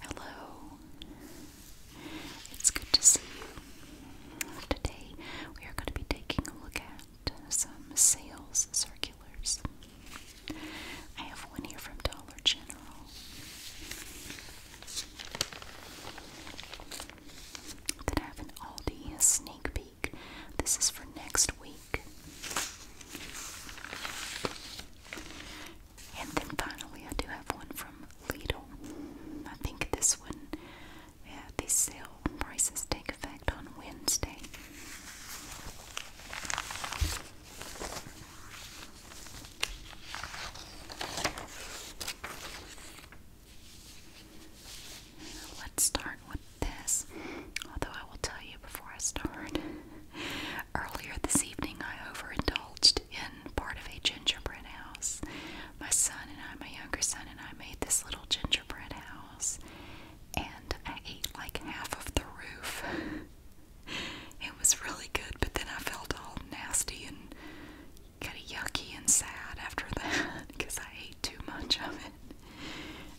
Hello. It's good to see you. Today we are going to be taking a look at some sales circulars. I have one here from Dollar General. That I have an Aldi sneak peek. This is for next week. And then finally, I do have one from Lidl. I think this one, yeah, these sale prices take effect on Wednesday. Let's start with this. Although I will tell you before I start, Earlier this evening, I overindulged in part of a gingerbread house. My son and I, my younger son and I, made this little gingerbread house, and I ate like half of the roof. it was really good, but then I felt all nasty and kind of yucky and sad after that because I ate too much of it.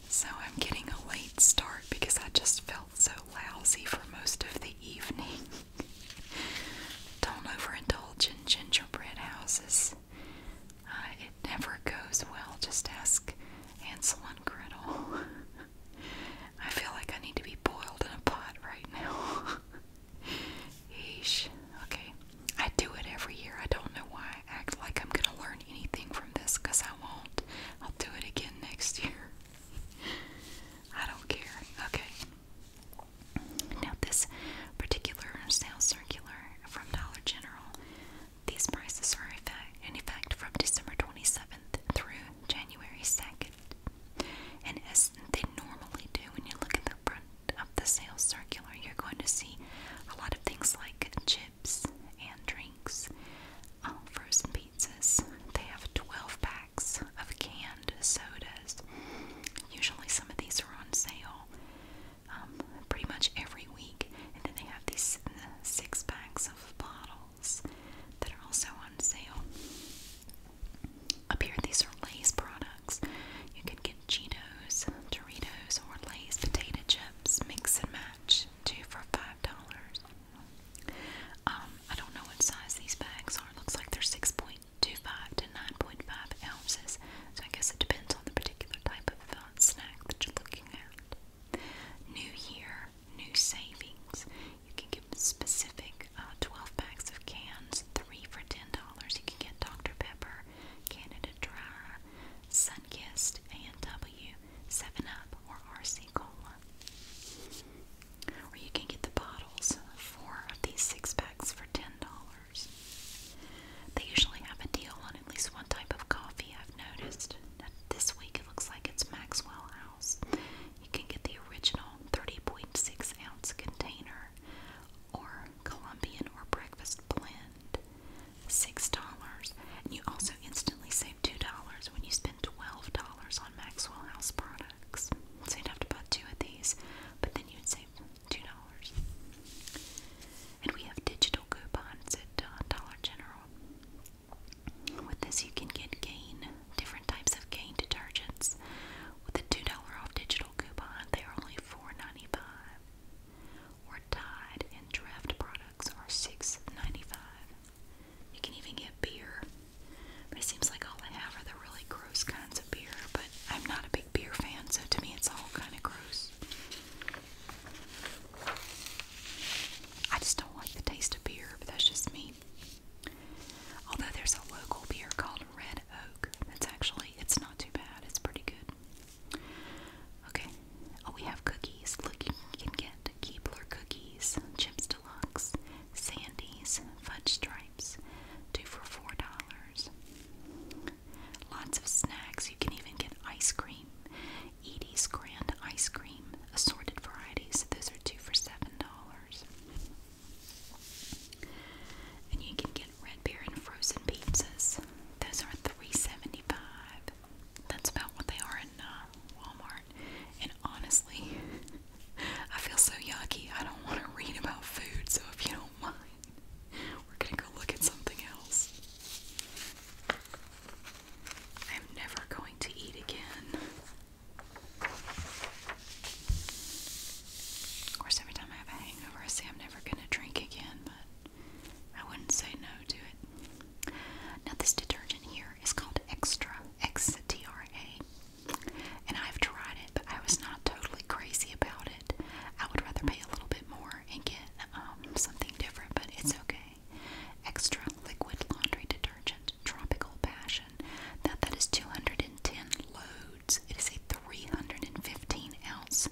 So I'm getting a late start because I just felt so lousy for most of the evening. Don't overindulge in gingerbread houses. Uh, it never goes well. Just ask Hansel and Gretel. I feel like I need to be boiled in a pot right now. Yeesh. Okay. I do it every year. I don't know why I act like I'm going to learn anything from this because I won't. I'll do it again next year. I don't care. Okay. Now, this particular sales circular from Dollar General, these prices are in effect from December 27th through January 2nd. And as they normally do, when you look at the front of the sales circular, you're going to see a lot of things like chips and dream drinks, um, frozen pizzas. They have 12 packs of canned sodas. Usually, some of these are on sale um, pretty much every week. And then they have these uh, six packs of bottles that are also on sale. Up here, these are Lay's products. You can get Cheetos, Doritos, or Lay's potato chips. Mix and match, two for five dollars. Um, I don't know what size these bags are. It looks like they're 6.25 to 9.5 ounces. So I guess it depends on the particular type of uh, snack that you're looking at. New Year, new savings. You can get specific uh, 12 packs of cans, three for $10. You can get Dr. Pepper, Canada Dry, Sunkist, A&W, 7-Up, or RC Cola. Or you can get the bottles, four these six packs for $10. They usually have a deal on at least one type of coffee, I've noticed. Now, this week it looks like it's Maxwell House. You can get the original 30.6 ounce container or Colombian or breakfast blend, $6. And you also also instantly save $2 when you spend $12 on Maxwell House products. So you'd have to buy two of these, but then you'd save $2. And we have digital coupons at uh, Dollar General. With this, you can get Gain, different types of Gain detergents. With a $2 off digital coupon, they're only $4.95. Or Tide and Draft products are $6.95. You can even get beer. But it seems like all I have are the really gross kinds of beer. But I'm not a big beer fan, so to me it's all kind of gross. I just don't like the taste of beer, but that's just me. Although there's a local beer called Red Oak. That's actually, it's not too bad. It's pretty good. Okay. Oh, we have cookies. Look, you can get Keebler cookies, Chips Deluxe, Sandy's fudge stripes, two for four dollars. Lots of snacks. You can even get ice cream. Edie's Grand Ice Cream, assorted varieties. Those are two for seven dollars. And you can get red beer and frozen pizzas. Those are three seventy-five. That's about what they are in uh, Walmart. And honestly, I feel so yucky. I don't want to read about food, so if you don't mind, we're going to go look at something else. I'm never going to eat again. Of course, every time I have a hangover, I say I'm never going to drink again, but I wouldn't say no to it. Now, this detergent here is called Extra. XTRA. And I've tried it, but I was not totally crazy about it. I would rather pay a little bit more and get um, something different, but it's okay. Extra liquid laundry detergent, Tropical Passion. Now that is 210 loads. It is a 315 ounce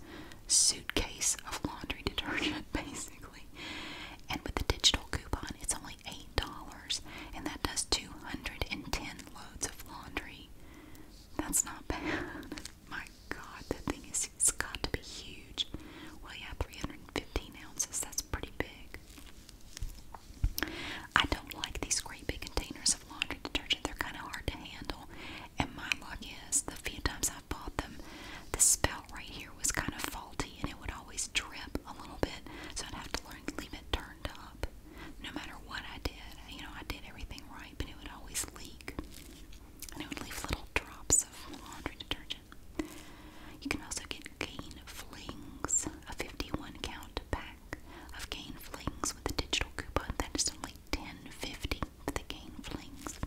suitcase of laundry detergent, basically. And with the digital coupon, it's only $8, and that does 210 loads of laundry. That's not bad. My god, that thing is, it's got to be huge. Well, yeah, 315 ounces, that's pretty big. I don't like these great big containers of laundry detergent, they're kind of hard to handle. And my luck is, the few times I've bought them, the spout right here was kind of faulty and it would always drip a little bit, so I'd have to learn trying to leave it turned up. No matter what I did, you know, I did everything right, but it would always leak. And it would leave little drops of laundry detergent. You can also get Gain Flings, a 51 count pack of Gain Flings with a digital coupon that is only $10.50 for the Gain Flings.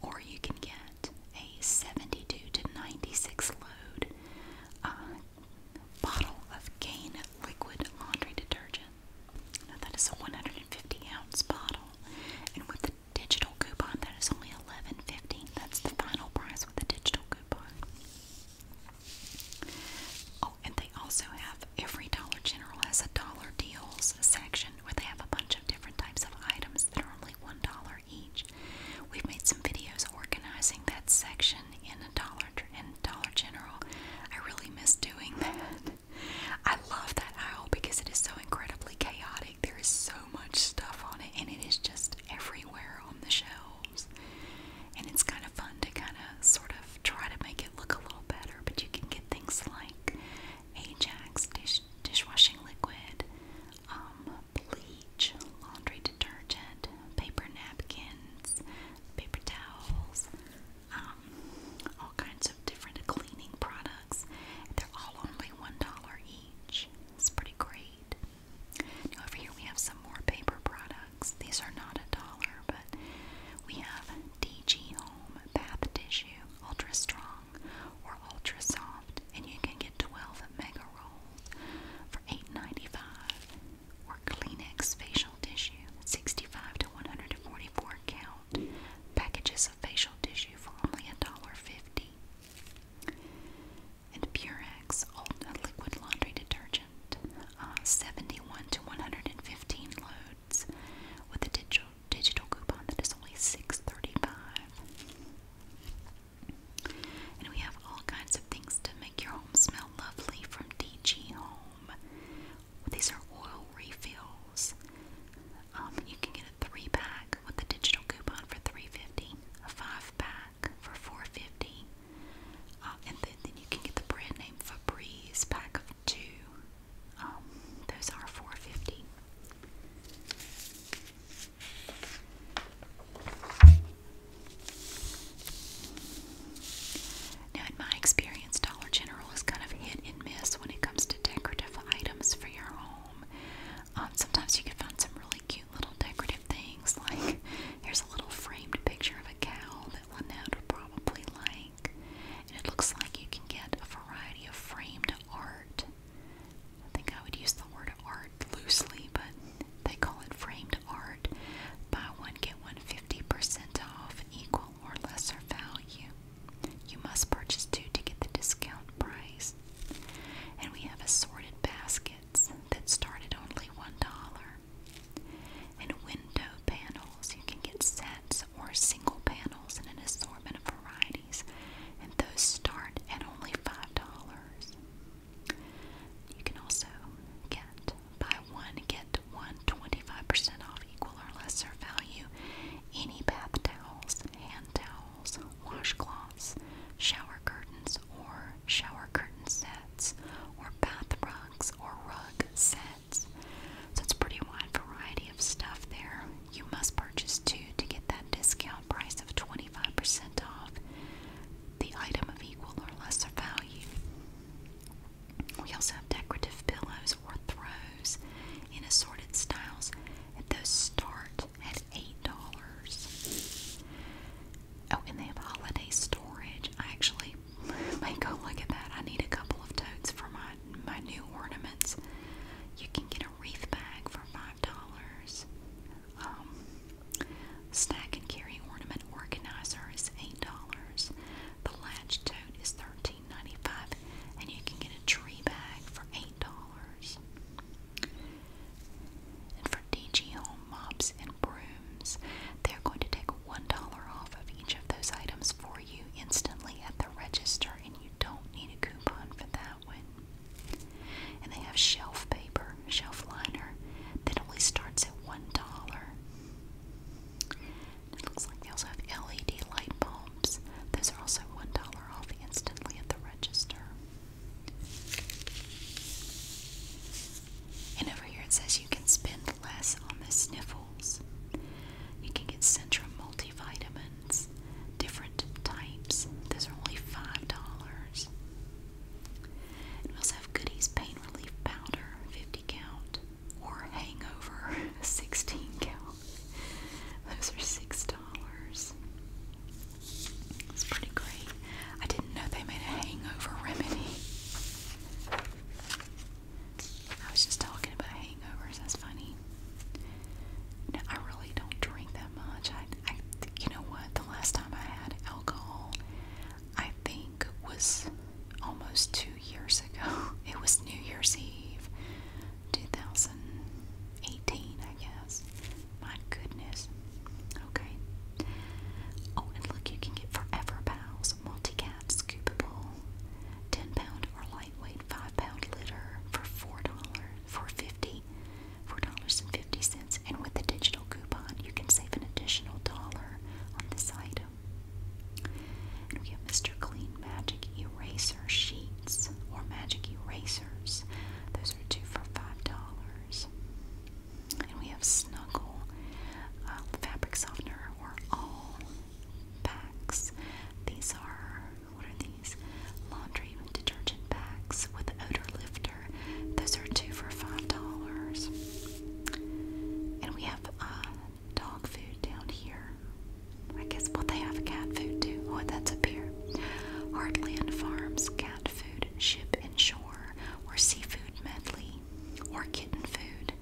Or you can get a 72 to 96 load uh, bottle of Gain liquid laundry detergent. Now that is a 150 ounce bottle, and with the digital coupon, that is only 11.50. That's the final price with the digital coupon. Oh, and they also have every Dollar General has a dollar deals section where they have a bunch of different types of items that are only one dollar each. We've made some videos organizing that section in dollar in Dollar General. I really miss doing that. I love that aisle because it is so incredibly chaotic. There is so much stuff on it and it is just everywhere on the shelves. And it's kind of fun to kind of sort of try to make it look a little better, but you can get things like Ajax dish dishwashing liquid, um, bleach, laundry detergent, paper napkins, paper towels, um, all kinds of different cleaning products. They're all only $1 each. It's pretty great. Now, over here we have some more paper products. These are not a dollar, but we have DG Home Bath Tissue Ultra Strong or Ultra Soft, and you can get 12 mega rolls for eight ninety five or Kleenex facial tissue, 65 to 144 count. Packages of facial tissue for only $1.50. And Purex old liquid laundry detergent, uh, 71 to 115 loads, with a digital digital coupon that is only $6.35. And we have all kinds of things to make your home smell lovely from DG Home. These are oil refills. Um, you can get a three pack with a digital coupon for three fifty, a five pack for four fifty, uh, and then, then you can get the brand name Febreze pack of two. Um, those are four fifty. Now, in my experience, Dollar General is kind of hit and miss when it comes to decorative items for your home. Um, sometimes you can find some really cute little decorative things, like here's a little framed picture of a cow that Lynette would probably like. And it looks like you can get a variety of framed art. I think I would use the word art art loosely, but they call it framed art. Buy one, get one 50% off, equal or lesser value. You must purchase two to get the discount price. And we have assorted baskets that start at only $1. And window panels, you can get sets or single panels in an assortment of varieties, and those start at only $5. You can also get buy one, get one 25% off equal or lesser value any bath towels, hand towels, washcloths, shower curtains, or shower curtain sets, or bath rugs, or rug sets. So it's a pretty wide variety of stuff there. You must purchase two to get that discount price of 25% off the item of equal or lesser value. We also have decorative pillows or throws in assorted styles, and those start at $8. Oh, and they have holiday storage. actually may go look at that. I need a couple of totes for my, my new ornaments. You can get a wreath bag for $5. Um, Stack and carry ornament organizer is eight dollars. The latch tote is $13.95 and you can get a tree bag for eight dollars. And for DG Home mops and brooms, they're going to take one dollar off of each of those items for you instantly at the register, and you don't need a coupon for that one. And they have shelf paper shelf liner that only starts at one dollar. It looks like they also have LED light bulbs. Those are also one dollar off instantly at the register. And over here it says you can spend less on the sniffles. You can get Centrum multivitamins, different types. Those are only five dollars we also have Goody's Pain Relief Powder, 50 count, or Hangover, 16 count. Those are six dollars. It's pretty great. I didn't know they made a hangover remedy. I was just talking about hangovers. That's funny. I really don't drink that much. I, you know what? The last time I had alcohol, I think was almost two years ago. It was New Year's Eve 2018, I guess. My goodness. Okay. Oh, and look, you can get Forever Bows, Multicat Scoopable, 10 pound or lightweight 5 pound litter for $4, for 50 dollars 50 and with the digital coupon, you can save an additional dollar on this item. we have Mr. Clean Magic Eraser Sheets or Magic Erasers. Those are two for $5. And we have Snuggle uh, Fabric Softener or All Packs. These are, what are these? Laundry detergent packs with odor lifter. Those are two for $5. And we have uh, dog food down here. I guess, what they have cat food too. Oh, that's up here. Heartland Farms cat food, ship and shore, or seafood medley, or kitten food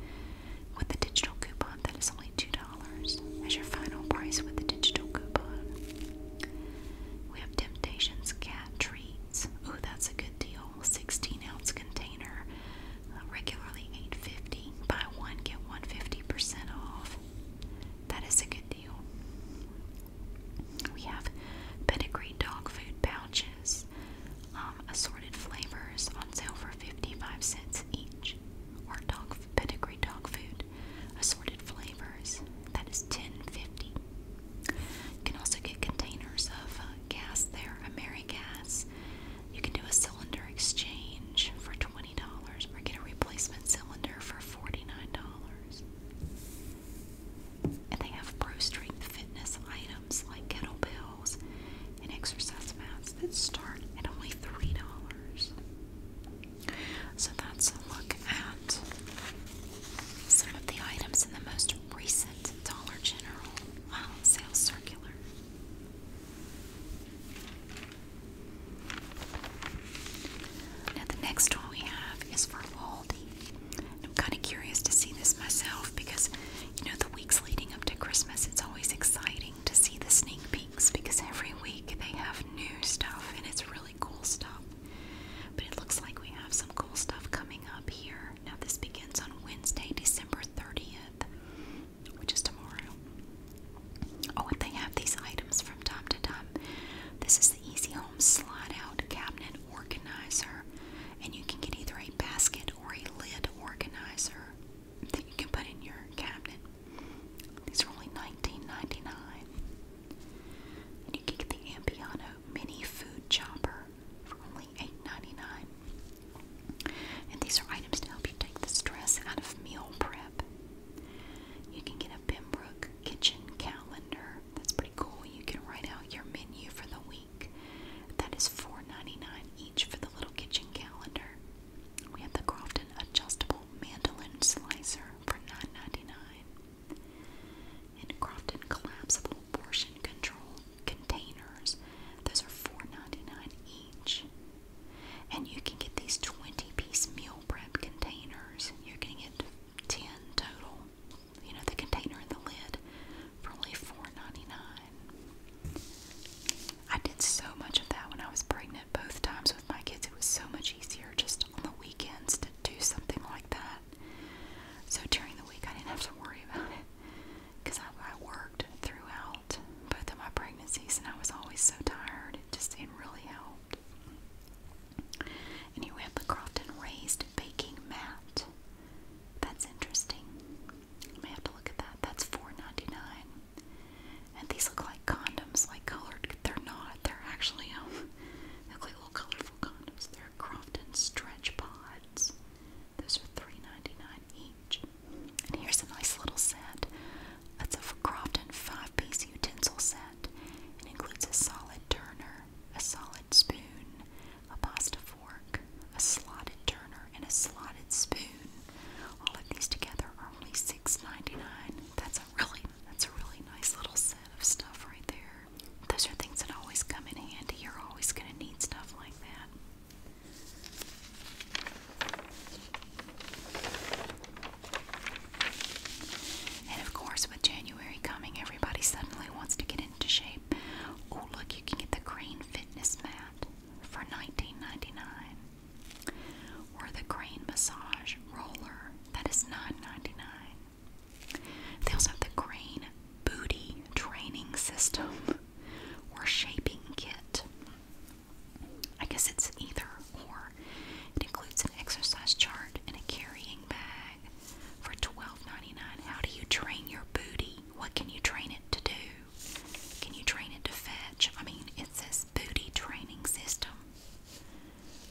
with the digital coupon that is only $2 as your final price with the digital coupon. We have Temptations cat treats. Oh, that's a good deal. 16 ounce container, uh, regularly 8 Buy one, get one fifty percent off. That is a good deal. We have pedigree dog food pouches, um, assorted flavors on sale for 55 cents each. Or dog pedigree dog food, assorted flavors. thats ten fifty. You can also get containers of uh, gas there, AmeriGas. You can do a cylinder exchange for $20 or get a replacement cylinder for $49. And they have pro fitness items like kettlebells and exercise mats that start at only $3. So that's a look at some of the items in the most recent cents Dollar General. Wow, sales circular. Now the next one we have is for Aldi. I'm kind of curious to see this myself because, you know, the weeks leading up to Christmas, it's always exciting to see the sneak peeks because every week they have new stuff and it's really cool stuff. But it looks like we have some cool stuff coming up here. Now, this begins on Wednesday, December 30th, which is tomorrow. Oh, they have these items from time to time. This is the Easy Home Slide Out Cabinet Organizer, and you can get either a basket or a lid organizer that you can put in your cabinet. These are only $19.99. And you can get the Ampiano Mini Food Chopper for only 8 And these are items to help you take the stress out of meal prep. You can get a Pembroke kitchen calendar. That's pretty cool. You can write out your menu for the week. That is $4.99 each for the little kitchen calendar. We have the Crofton adjustable mandolin slicer for $9.99 and Crofton collapsible portion control containers. Those are $4.99 each. And you can get these 20 piece meal prep containers. You're going to get 10 total. You know, the container and the lid for only $4.99. I did so much of that when I was pregnant both times with my kids. It was so much easier just on the weekends to do something like that. So during the week, I didn't have to worry about it because I, worked throughout both of my pregnancies, and I was always so tired. It just it really helped. And the Crofton raised baking mat. That's interesting. I may have to look at that. That's 4 And these look like condoms, like colored. They're not. They're actually um, they look like little colorful condoms. They're Crofton stretch pods. Those are three ninety nine each. And here's a nice little set. That's a Crofton five-piece utensil set. It includes a solid turner, a solid spoon, a pasta fork, a slotted turner, and a slotted spoon. All of these together are only six ninety nine. That's a really that's a really nice little set of stuff right there. Those are things that always come in handy. You're always gonna need stuff like that. And of course, with January coming, everybody suddenly wants to get into shape. Oh, look, you can get the Crane Fitness Mat for $19.99. Or the Crane Massage Roller, that is $9.99. They also have the Crane Booty Training System or shaping kit. I guess it's either or. It includes an exercise chart and a carrying bag for twelve ninety nine. How do you train your booty? What can you train it to do? Can you train it to fetch? I mean, it says booty training system.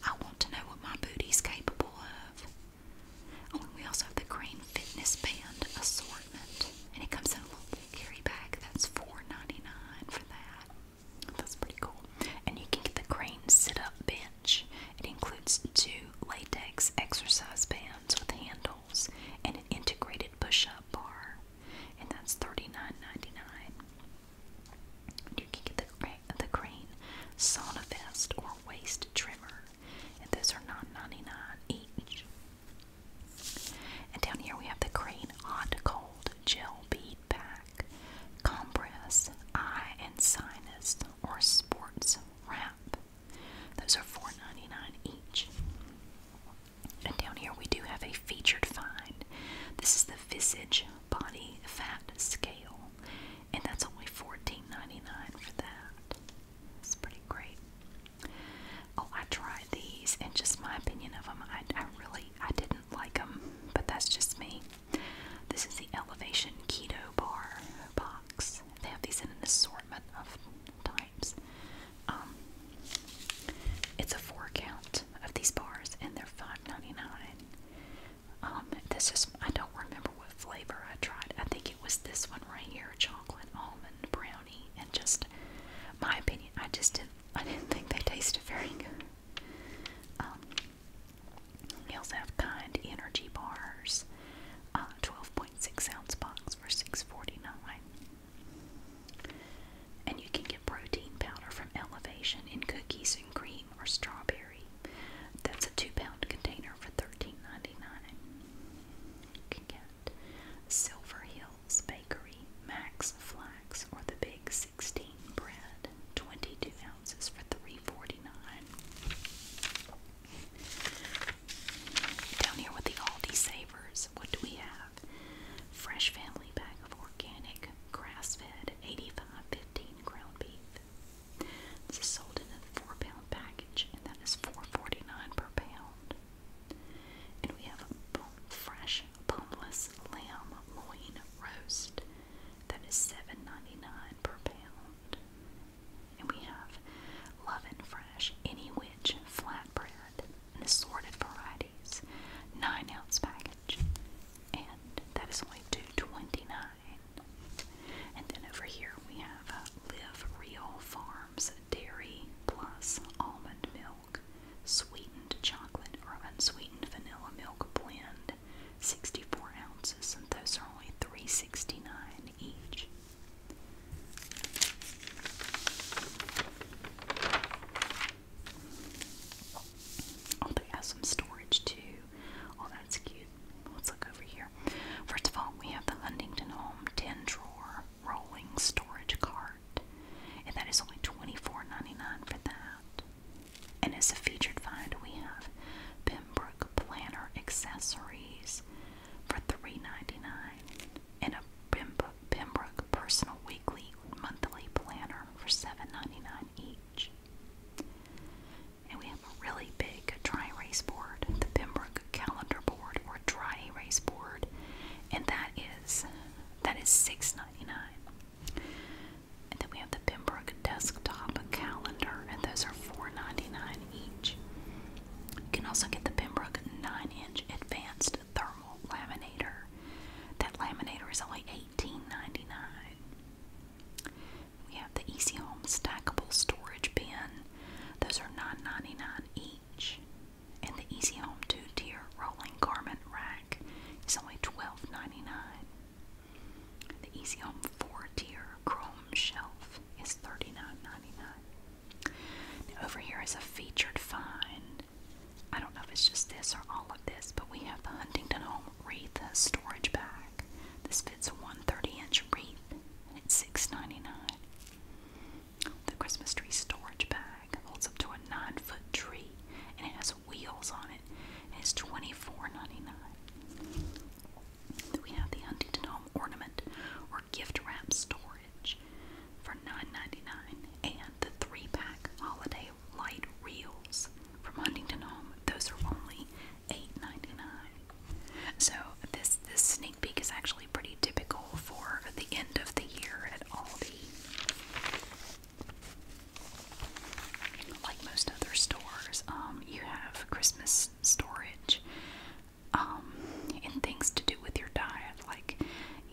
I want to know what my booty's capable of. Oh, we also have the Crane Fitness Band assortment. And it comes in a little carry bag. That's 4 for that. That's pretty cool. And you can get the Crane Sit-Up Bench. It includes two latex exercise bands with handles and an integrated push-up bar. And that's $39.99. You can get the Crane Sauna Vest or Waist Trimmer and those are 9 99 each. And down here we have the green hot cold gel bead pack, compress, eye and sinus, or sports wrap. Those are four ninety nine each. And down here we do have a featured find. This is the Visage Body Fat Scale, and that's only fourteen ninety nine for that. It's pretty great. Oh, I tried these, and just my opinion of them. I, really, I didn't like them, but that's just me. This is the Elevation Keto Bar box. They have these in an assortment of types. Um, it's a four count of these bars, and they're $5.99. Um, this is, I don't remember what flavor I tried. I think it was this one right here, chocolate almond brown brownie and just my opinion I just didn't I didn't think they tasted very good. Um, kind energy bars, 12.6 uh, ounce box for 6 And you can get protein powder from Elevation in cookies and cream or strawberry. That's a two pound container for 13 You can get Silver Hills Bakery Max Flax or the Big 16 bread, 22 ounces for $3.49. Down here with the Aldi Savers, what do we have? Fresh family bag of organic grass-fed 85-15 ground beef. This is sold in a four-pound package, and that is $4.49 per pound. And we have a fresh boneless lamb loin roast that is $7.99 per pound. And we have Love and Fresh Any Witch flatbread and assorted varieties, 9 ounce package. And that is only $2.29. And then over here we have a uh, Live Real Farm Dairy Plus Almond Milk, Sweetened Chocolate or Unsweetened Vanilla Milk Blend, 64 ounces, and those are only $3.69 each. Oh, they have some storage too. Oh, that's cute. Let's look over here. First of all, we have the Huntington Home 10 drawer rolling storage cart, and that is only $24.99 for that. And as a featured find, we have Pembroke Planner Accessories for $3.99 and a Pembroke Personal Weekly Monthly Planner for $7.99 each. And we have a really big dry erase board, the Pembroke calendar board, or dry erase board, and that is six ninety nine. And then we have the Pembroke desktop calendar, and those are four ninety nine each. You can also get the Pembroke 9-inch advanced thermal laminator. That laminator is only eighteen ninety nine. We have the Easy Home stackable storage bin. Those are nine ninety nine each and the Easy Home two-tier rolling garment rack is only $12.99. The Easy Home four-tier chrome shelf is $39.99. over here is a featured find. I don't know if it's just this or all of this, but we have the Huntington Home Wreath Storage Bag. This fits a 130-inch wreath, and it's $6.99. The Christmas tree storage bag holds up to a nine foot tree and it has wheels on it and it's twenty-four ninety-nine. we have the Huntington Home Ornament or Gift Wrap Storage for 9 and the three pack holiday light reels from Huntington Home. Those are only $8.99. So this this this sneak peek is actually pretty typical for the end of the year at Aldi. Like most other stores, um, you have Christmas storage um, and things to do with your diet, like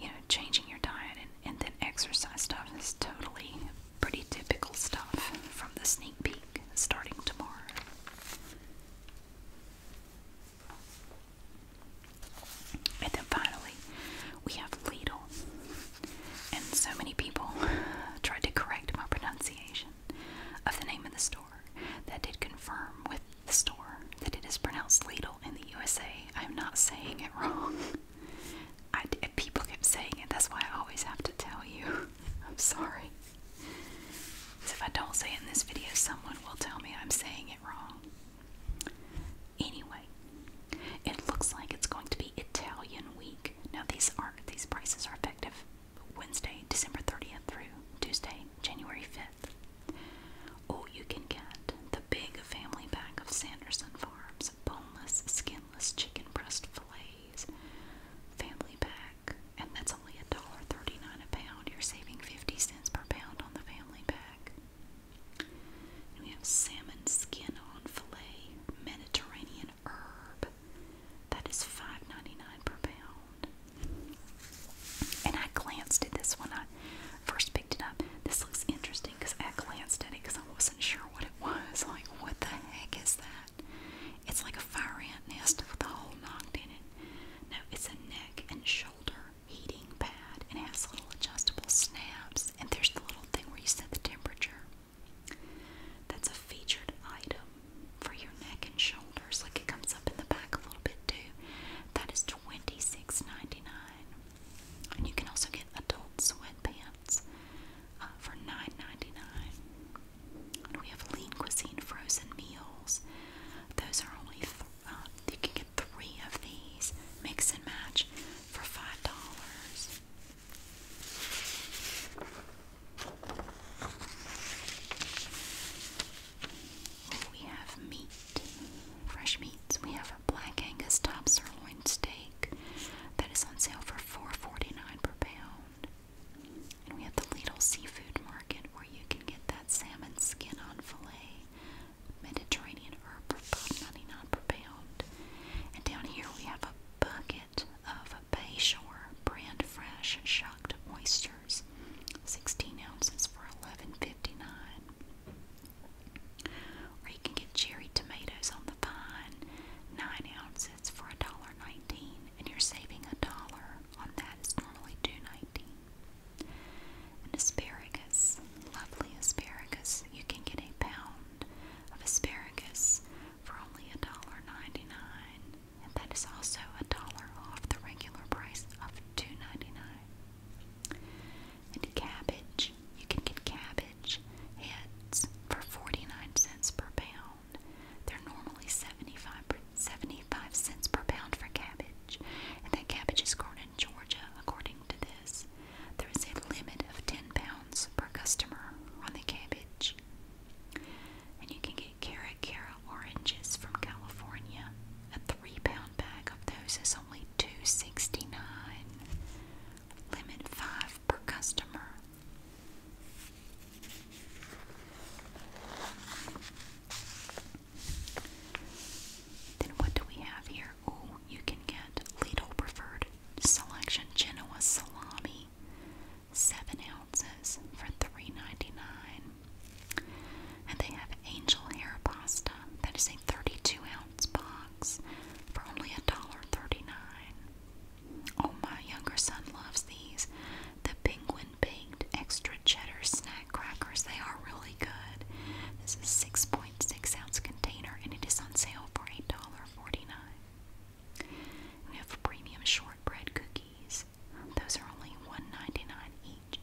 you know, changing your diet and, and then exercise stuff is totally pretty typical stuff from the sneak peek starting tomorrow. And then finally, we have Lidl. And so many people tried to correct my pronunciation of the name of the store that did confirm with the store that it is pronounced Lidl in the USA. I'm not saying it wrong. I, people keep saying it. That's why I always have to tell you. I'm sorry if I don't say in this video, someone will tell me I'm saying it wrong. Anyway, it looks like it's going to be Italian week. Now these are these prices are effective Wednesday, December 30th through Tuesday, January 5th. Oh, you can get the big family pack of Sanderson Farms boneless, skinless chicken breast fillets. Family pack, and that's only a dollar thirty-nine a pound. You're saving 50 cents per pound on the family we have salmon skin on filet, Mediterranean herb. That is $5.99 per pound. And I glanced at this one. I first picked it up. This looks interesting because I glanced at it because I wasn't sure what it was. Like, what the heck is that? It's like a fire ant nest with a hole knocked in it. No, it's a neck and shoulder heating pad and it has little adjustable snaps and there's the little thing where you set the temperature. That's a featured item for your neck and shoulders. Like it comes up in the back a little bit too. That is $26.99. And you can also get adult sweatpants uh, for $9.99. And we have lean cuisine frozen meals. Those are only um, you can get three of these, mix and match, for five dollars. We have meat, fresh meats. We have a black Angus top sirloin steak that is on sale for four forty nine per pound. And we have the Lidl Seafood Market where you can get that salmon skin on filet Mediterranean herb 99 per pound. And down here we have a bucket of Bayshore brand fresh shucked oysters, 16 ounces for eleven fifty-nine. dollars Or you can get cherry tomatoes on the vine, 9 ounces for $1.19, and you're saving a dollar on that. It's normally $2.19. And asparagus, lovely asparagus. You can get a pound of asparagus for only a dollar ninety-nine, And that is also a dollar off the regular price of two ninety-nine. dollars 99 And cabbage, you can get cabbage heads for 49 cents per pound. They're normally 75, cents per pound for cabbage. And that cabbage is grown in Georgia, according to this, there is a limit of £10 per customer on the cabbage. And you can get carrot, Cara oranges from California. A three pound bag of those is only $2.69. Limit five per customer. Then what do we have here? Oh, you can get Lidl Preferred Selection Genoa Salami, 7 ounces for $3.99. And they have Angel Hair Pasta, that is a 32 ounce box for only $1.39. Oh, my younger son loves these. The Penguin Baked Extra Cheddar Snack crackers. They are really good. This is six point six ounce container, and it is on sale for eight dollar forty nine. We have premium shortbread cookies. Those are only $1.99 each.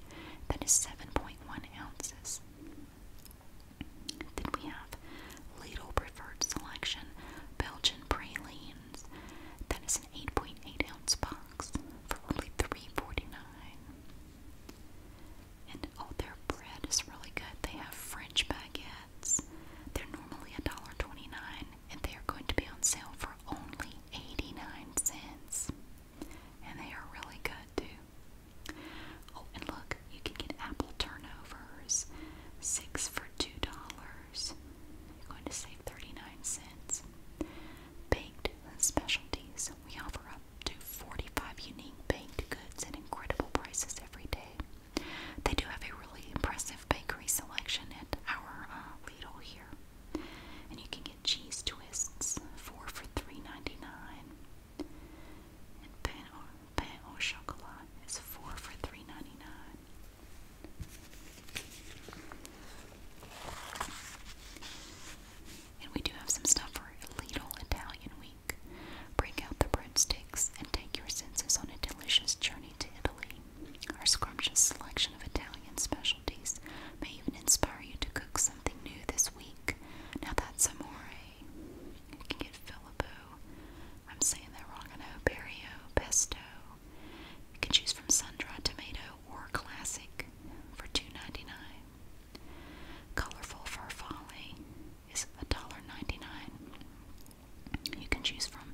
That is seven point one ounces. Then we have Lidl Preferred Selection Belgian Pralines. That is an 8.8 ounce box for only $3.49 oh, their bread is really good. They have French baguettes. They're normally $1.29, and they are going to be on sale for only 89 cents. And they are really good too. Oh, and look, you can get apple turnovers, six for $2. You're going to save 39 cents. Baked specialties. We offer up up to 45 unique baked goods at incredible prices every day. They do have a really impressive bakery selection at our uh, Lidl here. And you can get cheese twists, four for three ninety-nine, And pain au, chocolat is four for 3 and we do have some stuff for Little Italian Week. Break out the breadsticks and take your senses on a delicious journey to Italy. Our scrumptious selection of Italian specialties may even inspire you to cook something new this week. Now that's amore. You can get Filippo. I'm saying that wrong, I know. Perio, pesto. You can choose from sun-dried tomato or classic for $2.99. Colorful Fur Folly is $1.99. You can choose from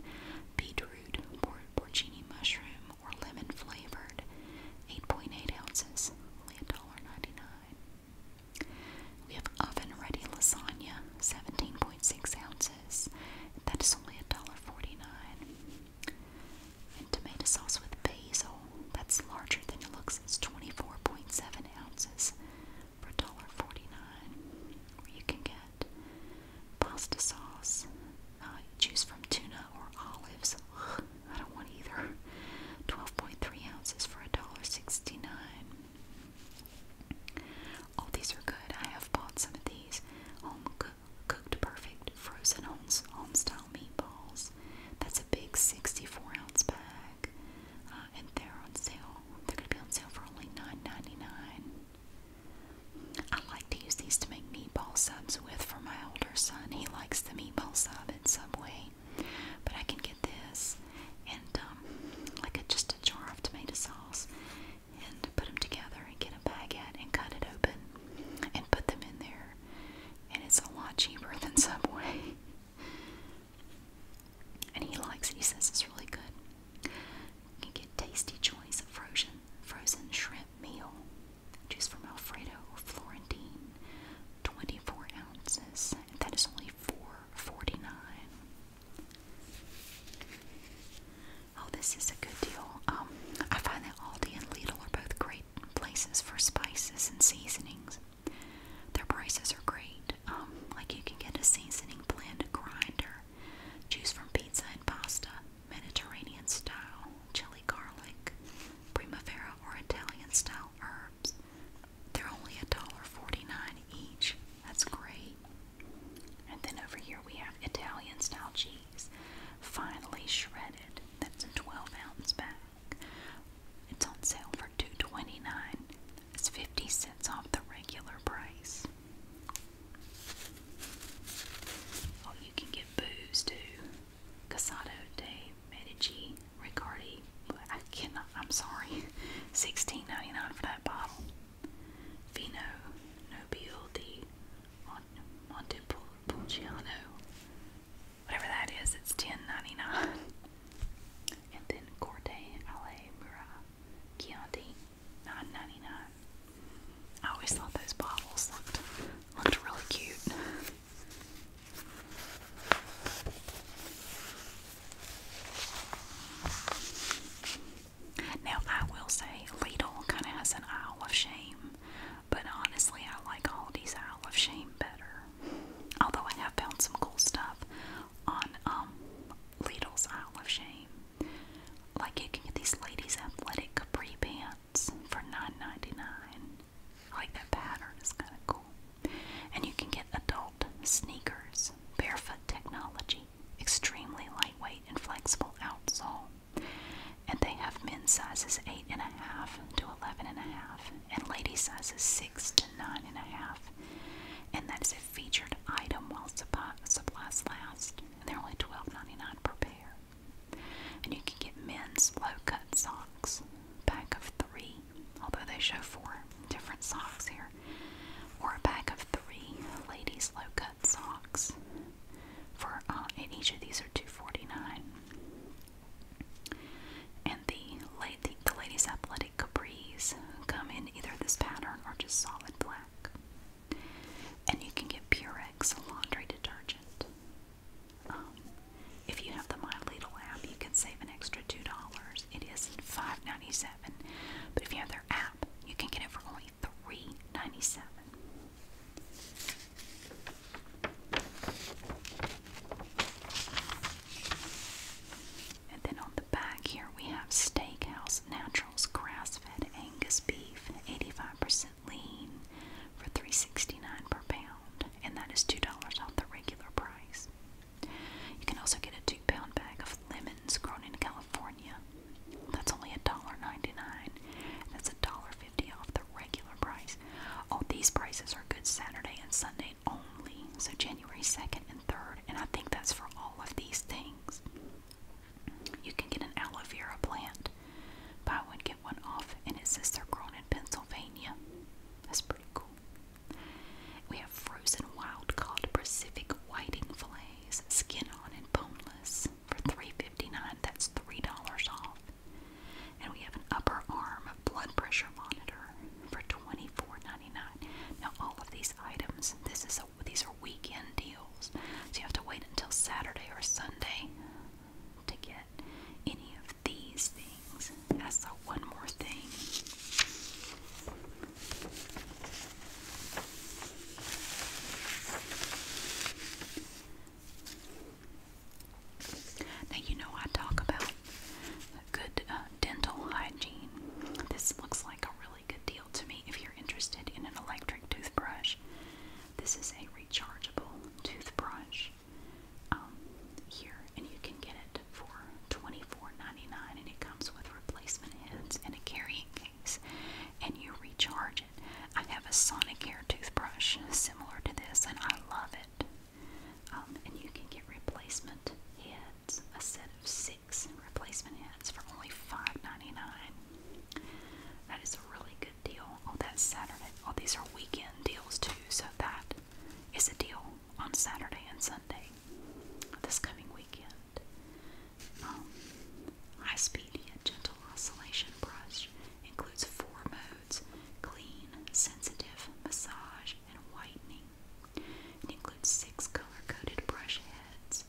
beetroot, por porcini mushroom, or lemon flavored, 8.8 ounces, only $1.99. We have oven ready lasagna, 17.6 ounces, that is only $1.49 tomato sauce with basil that's larger than it looks. It's 24.7 ounces for $1.49. Or you can get pasta sauce. Uh, choose from tuna or olives. I don't want either. 12.3 ounces for $1.69. All these are good. I have bought some of these home cooked perfect frozen home, home style meatballs. That's a big 64 ounce bag, uh, and they're on sale. They're going to be on sale for only $9.99. I like to use these to make meatball subs with for my older son. He likes the meatball sub at Subway, but I can get this and um, like just a jar of tomato sauce and put them together and get a baguette and cut it open and put them in there. And it's a lot cheaper than Subway and he likes it. He says it's really good. You get tasty choice of frozen frozen shrimp meal. Choose from Alfredo or Florentine. 24 ounces. And that is only $4.49. Oh, this is a good deal. Um, I find that Aldi and Lidl are both great places for spices and seasonings. Their prices are great. Um, like you can get a seasoning blend grinder. Choose from pizza and pasta, Mediterranean style, chili garlic, primavera or Italian style herbs. They're only $1.49 each. That's great. And then over here we have Italian style cheese, finely shredded. That's a 12 ounce bag. It's on sale for $2.29. It's 50 cents off the regular price. Oh, you can get booze too. Casado de Medici Riccardi. I cannot, I'm sorry. 16 for that bottle. Vino Nobile di Montepulciano whatever that is, it's 10 And then Corte Ale Mura Chianti, 9 I always thought those bottles looked looked really cute. Now I will say Lidl kind of has an aisle of shame, but honestly I like Aldi's aisle of shame better. Although I have found some cool stuff on um, Lidl's Isle of Shame. Like you can get these ladies' athletic capri pants for $9.99. like that pattern, is kind of cool. And you can get adult sneakers, barefoot technology, extremely lightweight and flexible outsole. And they have men's sizes 8.5 to 11.5 and, and ladies' sizes six six to nine and a half, and that is a featured item while supplies last. And they're only twelve ninety nine per pair. And you can get men's low cut socks, pack of three, although they show four different socks here, or a pack of three ladies low cut socks. For uh, and each of these are two forty nine. And the, lady, ladies' athletic capris come in either this pattern or just solid black. And you can get Purex laundry detergent. Um, if you have the My Little app, you can save an extra two dollars. It is $5.97, but if you have their app, you can get it for only $3.97. And then on the back here we have Steakhouse Naturals grass-fed Angus beef, 85% lean for $3.69 per pound, and that is $2 off the regular price. You can also get a 2 pound bag of lemons grown in California. That's only $1.99. That's $1.50 off the regular price. All these prices are good Saturday and Sunday only. So January 2nd and 3rd. And I think that's for all of these things. You can get an aloe vera plant. Buy one, get one off. And it says they're grown in Pennsylvania. That's pretty cool. We have frozen wild cod Pacific whiting fillets, skin on and boneless, for $3.59. That's $3 off. And we have an upper arm blood pressure monitor for $24.99. Now all of these items, this is a, these are weekend deals. So you have to wait until Saturday or Sunday to get any of these things. I saw one more thing. Now you know I talk about good uh, dental hygiene. This looks like a really good deal to me if you're interested in an electric toothbrush. This is a rechargeable toothbrush um, here, and you can get it for $24.99, and it comes with replacement heads and a carrying case, and you recharge it. I have a Sonicare toothbrush similar to this, and I love it. Um, and you can get replacement heads, a set of six replacement heads for only $5.99. That is a really good deal. Oh, that's Saturday. Oh, these are weekend deals too, so that is a deal on Saturday and Sunday this coming weekend. Um, High Speed Gentle Oscillation Brush includes four modes clean, sensitive, massage, and whitening. It includes six color-coded brush heads,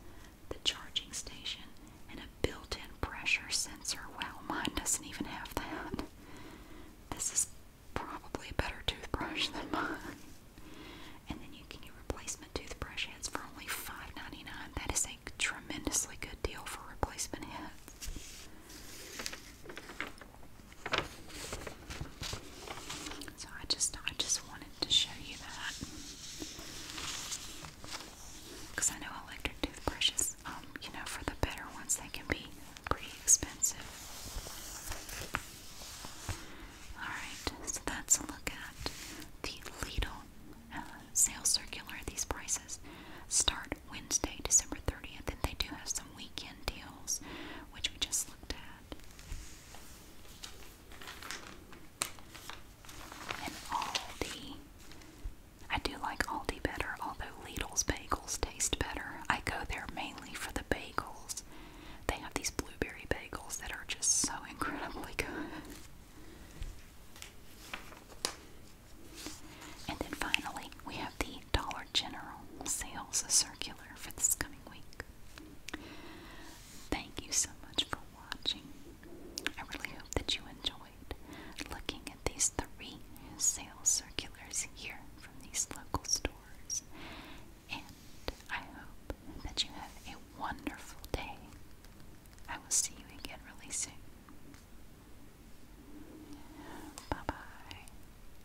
the charging station, and a built-in pressure sensor. Wow, mine doesn't even have that. This is probably a better toothbrush than mine. And then you can get replacement toothbrush heads for only $5.99. That is a tremendously good deal for replacement heads. So I just I just wanted to show you that because I know electric toothbrushes, um, you know, for the better ones they can be pretty expensive. Alright, so that's a look at the Lidl uh, sales circular. These prices start Wednesday, December 30th, and they do have some weekend deals which we just looked at. And Aldi. I do like Aldi better, although Lidl's bagels taste better. I go there mainly for the bagels. They have these blueberry bagels that are just so incredibly good. And then finally, we have the Dollar general sales circular for this coming week. Thank you so much for watching. I really hope that you enjoyed looking at these three sales circulars here from these local stores. And I hope that you have a wonderful day. I will see you again really soon. Bye bye.